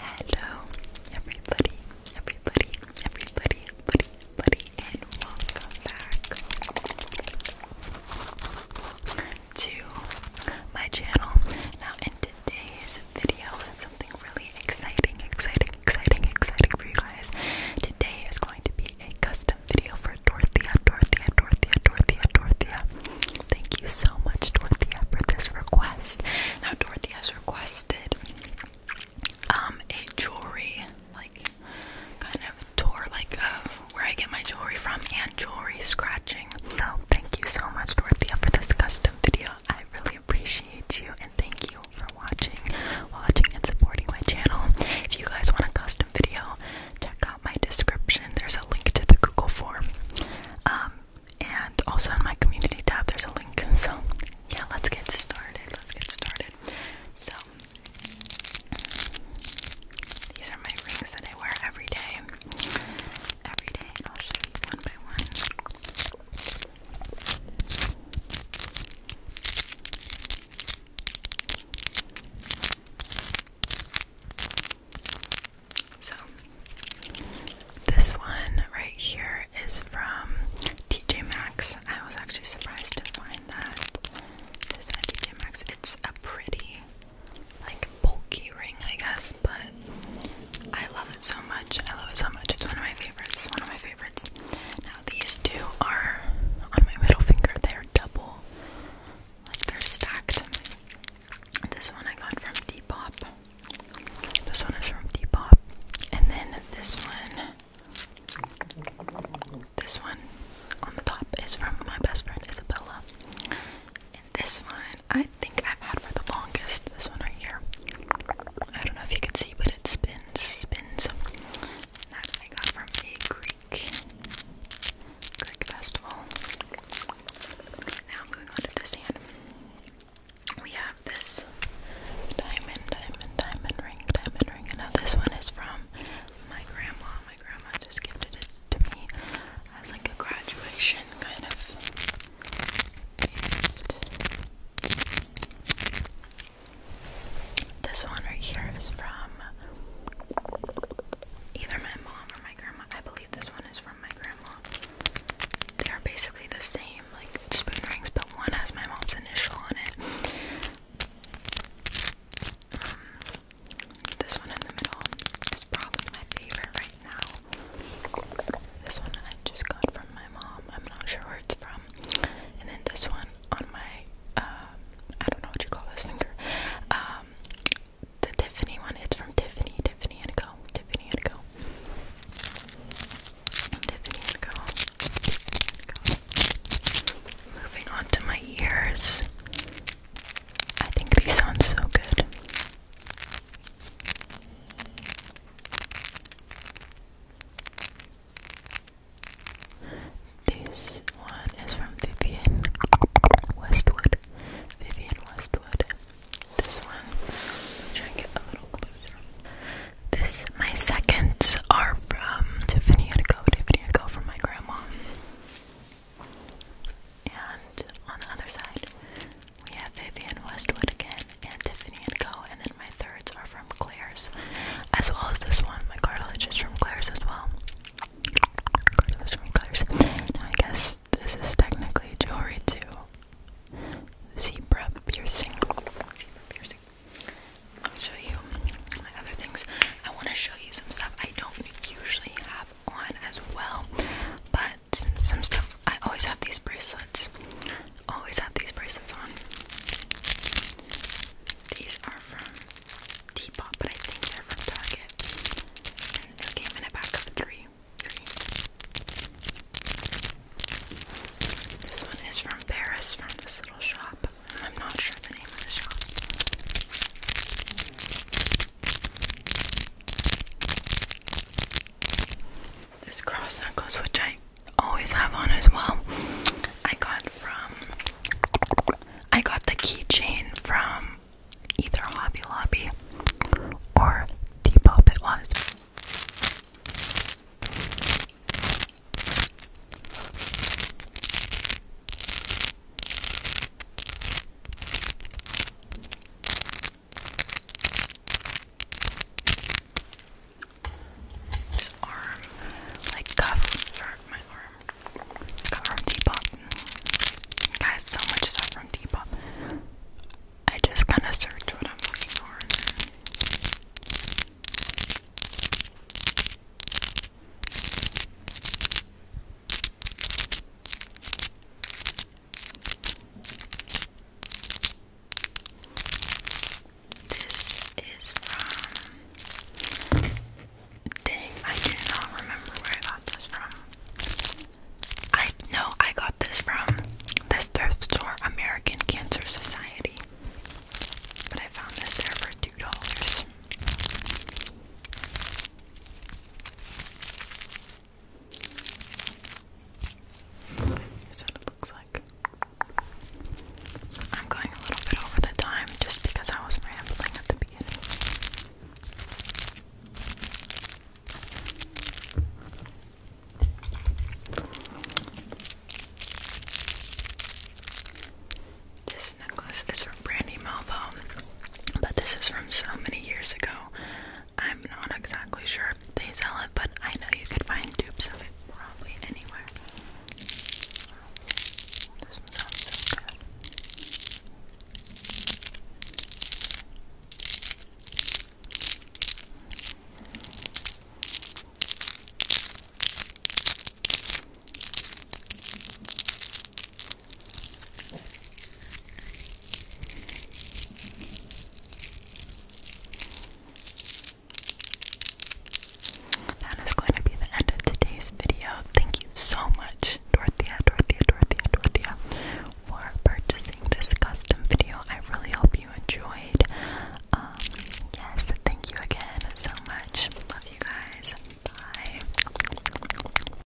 Hello, everybody, everybody, everybody, everybody, everybody, and welcome back to my channel. Now, in today's video, I something really exciting, exciting, exciting, exciting for you guys. Today is going to be a custom video for Dorothea, Dorothea, Dorothea, Dorothea, Dorothea. Thank you so much, Dorothea, for this request. Now, Dorothy has requested um a jewelry, like kind of tour, like of where I get my jewelry from and jewelry scratching. So, thank you so much, Dorothea, for this custom video. I really appreciate you and thank you for watching, watching and supporting my channel. If you guys want a custom video, check out my description. There's a link to the Google form. Um, and also in my community tab there's a link. So yeah, let's get started. Let's get started. So these are my rings that I wear every day. Every day, I'll show you one by one. So, this one right here is from TJ Maxx. I was actually surprised to find that. This at TJ Maxx. It's a pretty, like, bulky ring, I guess, but I love it so much. I love it so much. It's one of my favorites. It's one of my favorites. Now, these two are on my middle finger. They're double. Like, they're stacked. This one I got from Depop. This one is from Depop. And then this one, this one on the top is from my best friend Isabella. And this one I think I've had for the longest. This one right here. I don't know if you can see, but it spins, spins. That I got from a Greek festival. Now moving on to this hand. We have this diamond, diamond, diamond ring, diamond ring. now this one is from my grandma. My grandma just gifted it to me as like a graduation kind of gift. This one right here is from either my mom or my grandma. I believe this one is from my grandma. They are basically the same, like spoon rings, but one has my mom's initial on it. Um, this one in the middle is probably my favorite right now. This one I just got from my mom. I'm not sure where it's from. And then this one on my uh, I don't know what you call this finger. Um, the Tiffany one. It's from Tiffany, Tiffany and Co. Tiffany and Co. Tiffany and Co. Moving on to my ears. I think these sound so good. This one is from Vivian Westwood. Vivian Westwood. This one, try and get a little closer. This, my seconds are from Tiffany and Go. Tiffany and Go from my grandma. And on the other side, we have Vivian Westwood again and Tiffany and Co. And and my thirds are from Claire's, as well as this one. My cartilage is from Claire's as well. Cartilage from Claire's. Now I guess this is technically jewelry too. Zebra piercing. Zebra piercing. I'll show you my other things. I want to show you some stuff I don't usually have on as well, but some stuff. I always have these bracelets. Always have these bracelets on. These are from Depop, but I think they're from Target. And they came in a pack of Three. This one is from Paris, from this little shop. I'm not sure the name of the shop this cross necklace, which I always have on as well. I got from I got the keychain from either Hobby Lobby or Pop it was arm, like cuff for my arm. Got from Depop. Guys, so much stuff from Depop. I just kind of search what I'm looking for. This is from. Dang, I do not remember where I got this from. I know I got this from this thrift store, American Cancer Society. But I found this there for $2. Here's what it looks like. I'm going a little bit over the time just because I was rambling at the beginning. This necklace is from Brandy Malvo, but this is from so many years ago. I'm not exactly sure they sell it, but I know you could find dupes of it probably anywhere. That is going to be the end of today's video. Thank you so much, Dorothea, Dorothea, Dorothea, Dorothea, for purchasing this custom video. I really hope you enjoyed. Um, yes, thank you again so much. Love you guys. Bye.